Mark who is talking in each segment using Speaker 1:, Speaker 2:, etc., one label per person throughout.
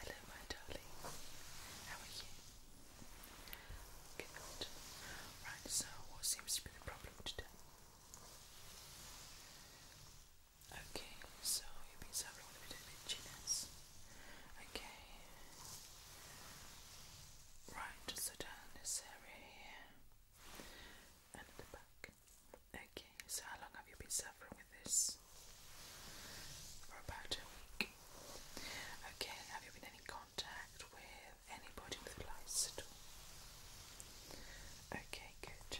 Speaker 1: Hello, my darling. How are you? Good. Right, so what seems to be the problem today? Okay, so you've been suffering a bit of itchiness. Okay. Right, so down this area here and the back. Okay, so how long have you been suffering with this? For about a week. Okay, have you been in contact with anybody with lice at Okay, good.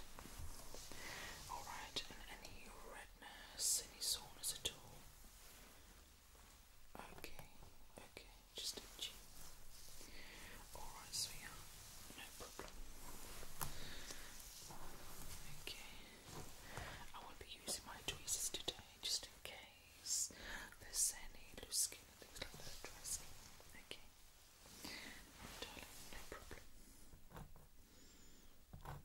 Speaker 1: Alright, any redness, any soreness at all? Okay, okay, just a Alright, so yeah, no Okay. I will be using my tweezers today just in case there's any loose skin and things like that, Okay. No, problem. Okay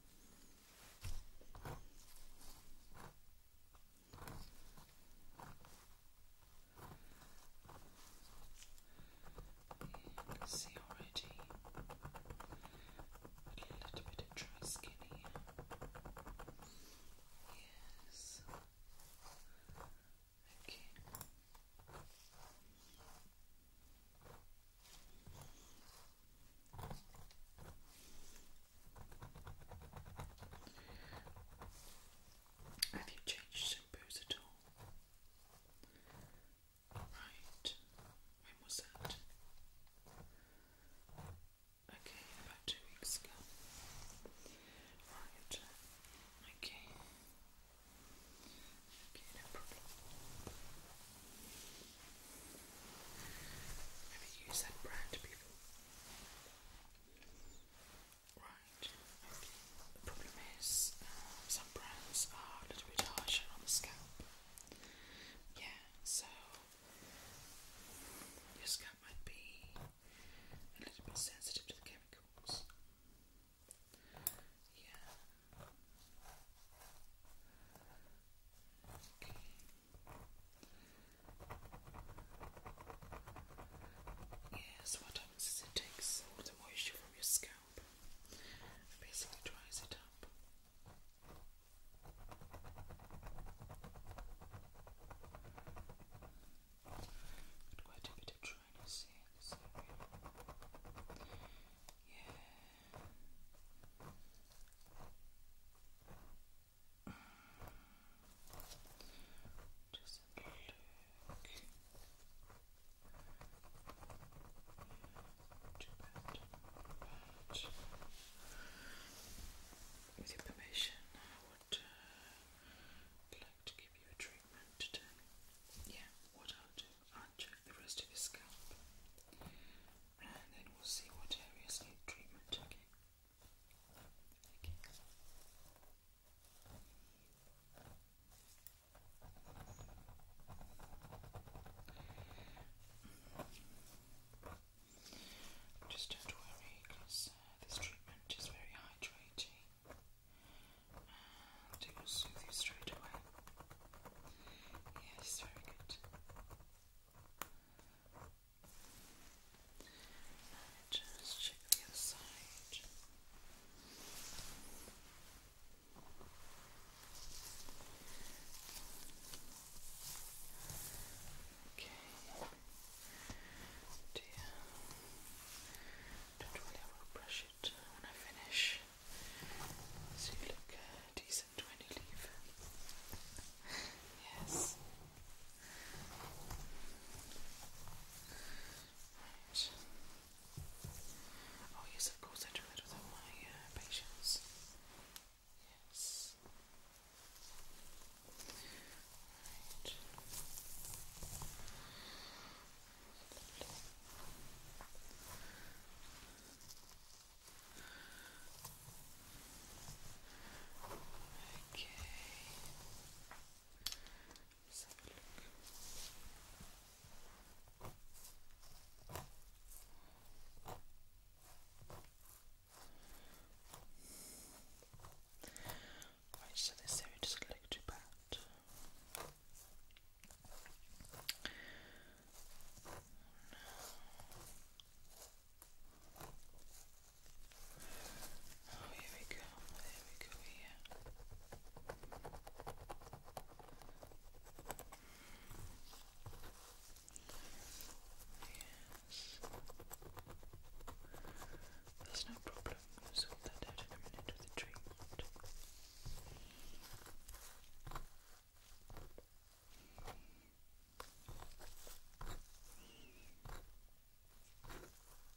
Speaker 1: see already a little bit of dry skin here. Yes. Okay. Have you changed shampoos at all? Right, when was that? Okay, about two weeks ago. Right, okay. Okay, no problem. Have you used that brand before? Right, okay. The problem is um, some brands are a little bit harsher on the scalp. Yeah, so your scalp might be a little bit sensitive to the chemicals. Yeah. Okay. Yes, what happens is it takes all the moisture from your scalp basically dries it up. quite a bit of dryness here Yeah. Just a look. Too bad. But to give you a treatment today. Yeah, what I'll do, I'll check the rest of your scalp and then we'll see what areas need treatment, okay? Okay. Just don't worry because uh, this treatment is very hydrating and it will soothe you straight away. Yes, very good. Just check the other side. Okay. Dear. Don't worry, I will brush it when I finish. So you look uh, decent when you leave. yes. Right. Oh, yes, of course, I do that with all my uh, patients. Yes. Okay let a look. Right, so this area doesn't look too bad. Oh, here we go. There we go here. Yes. There's no problem. We'll sort that out in a minute with the treatment.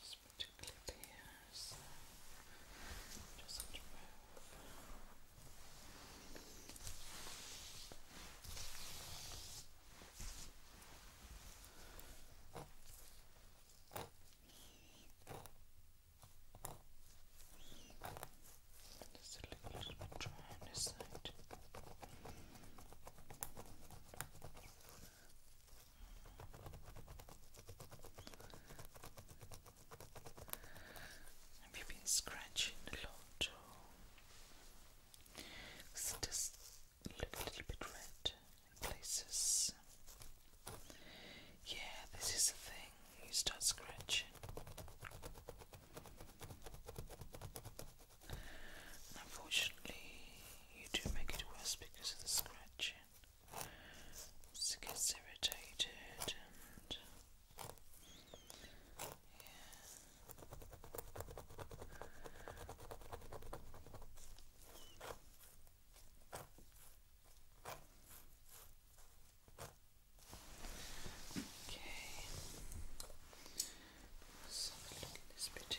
Speaker 1: Just put a clip here, Just a little bit dry on this side. Have you been scratching a lot too? it look a little bit red in places. Yeah, this is the thing, you start scratching. unfortunately, you do make it worse because of the scratching. Just gets irritated and yeah. Okay. Let's have a look at this bit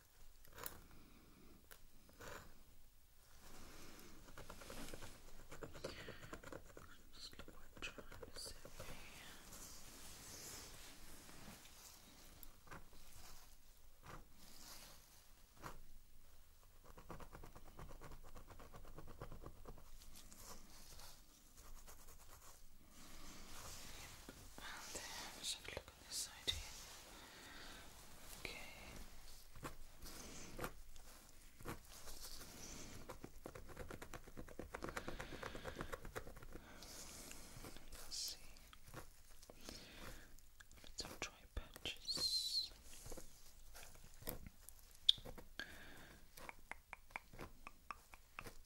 Speaker 1: Just look what trying to say and then just look this side Okay. Let's see. Let's try patches.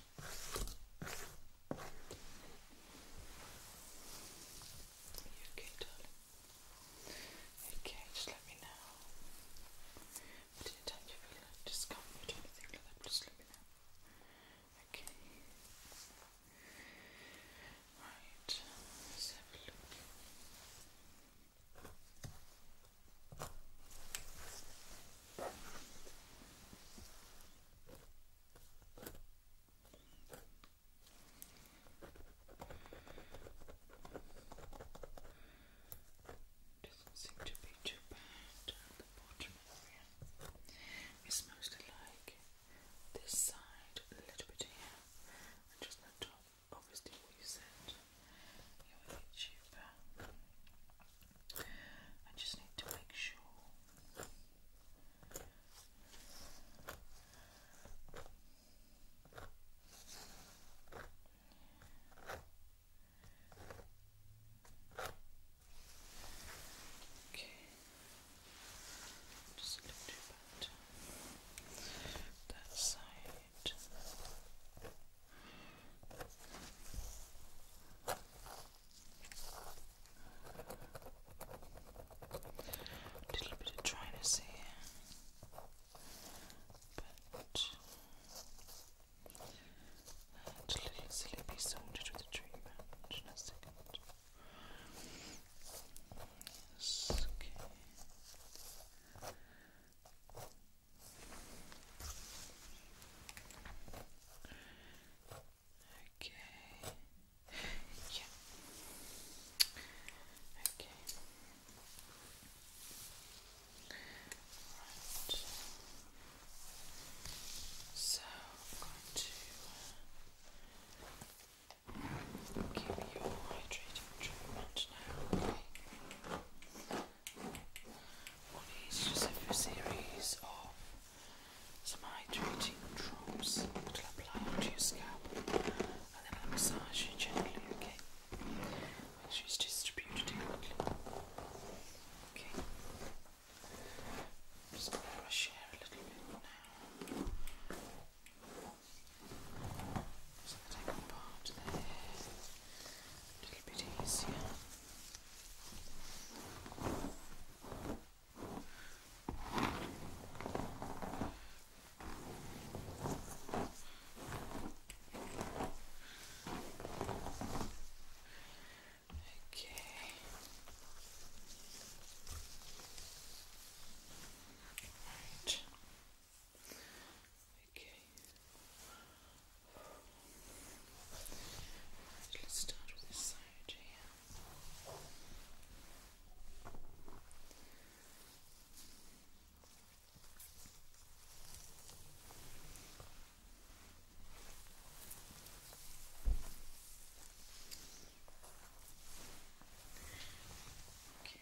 Speaker 1: okay, darling. Okay, just let me know. But anytime you feel like discomfort or anything like that, just let me know. Okay. Right, let's have a look. Okay. Doesn't seem to be too bad the bottom area. It's mostly like this side, a little bit here, and just the top. Obviously, what you said, you're a YouTuber. I just need to make sure Okay. Just a little that side. A little bit of dryness here, but that little silly be sorted with treatment in a second. Yes, okay. Okay. Yeah. Okay. Right. So I'm going to um, give you a hydrating treatment now. Okay. just a series of some hydrating drops I'll apply onto your scalp, and then I'll massage you gently, okay? Make sure it's distributed evenly. Okay. just to brush your hair a little bit now. So that I part the a little bit easier. Okay. Right. Okay let's start with this side here. Okay.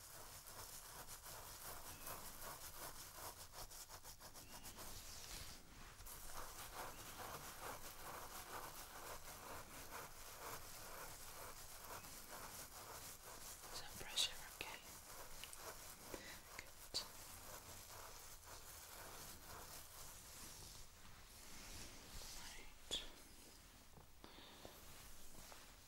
Speaker 1: Some pressure, okay. Good. Right.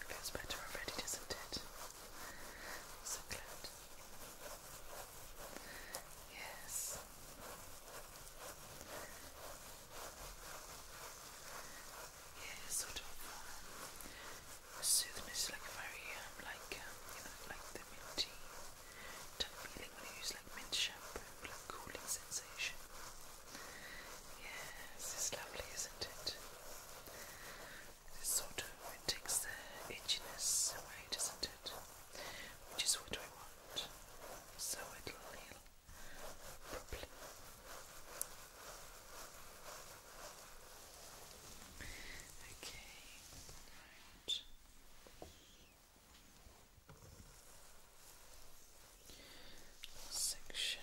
Speaker 1: It goes better already, doesn't it? So glad. Yes. Yeah, sort of um, uh, soothing. It's like very, um, like um, you know, like the minty type feeling when you use like mint shampoo, like cooling sensation. Yes, it's lovely, isn't it? It sort of takes the itchiness away, doesn't which is what I want, so it will heal properly. Okay, right. Section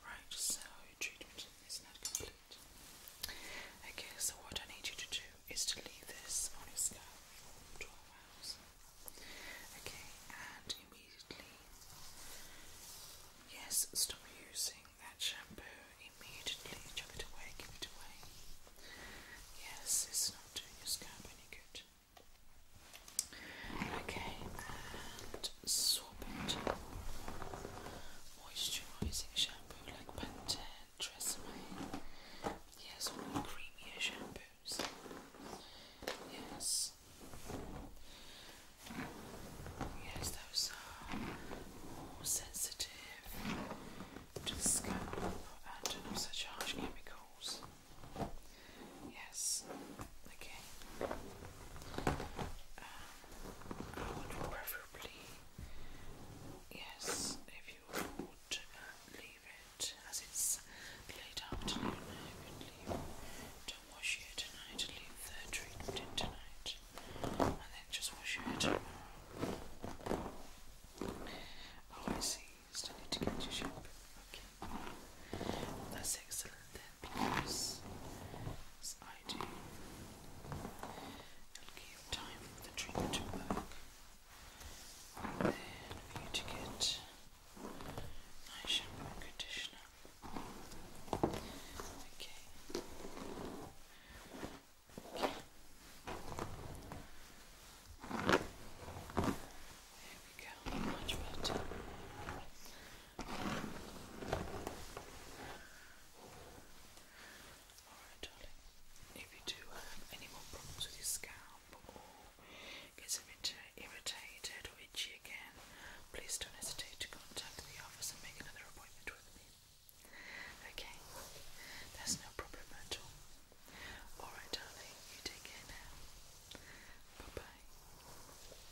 Speaker 1: Right, so treatment is not complete. Okay, so what I need you to do is to leave this on your scalp for 12 hours. Okay, and immediately, yes, stop using that shampoo immediately. Chuck it away, give it away. Yes, it's not doing your scalp any good. Okay, and that sorbent moisturizing shampoo like Pantene, Yes, all the creamier shampoos. Yes. Yes, those are more sensitive to the scalp and to harsh chemicals. Yes. Okay. I would preferably, yes, if you would uh, leave it as it's late afternoon, I would leave. Don't wash your tonight, leave the treatment tonight, and then just wash your tomorrow. Oh, I see, still need to get your shape. Okay, that's excellent then because as I do, it'll give time for the treatment to work then for you to get nice shampoo and conditioner. Okay. Okay. There we go, much better. Alright, darling. If you do have any more problems with your scalp or gets a bit uh, irritated or itchy again, please don't hesitate to contact the office and make another appointment with me. Okay, that's no problem at all. Alright, darling, you take care now. Bye bye.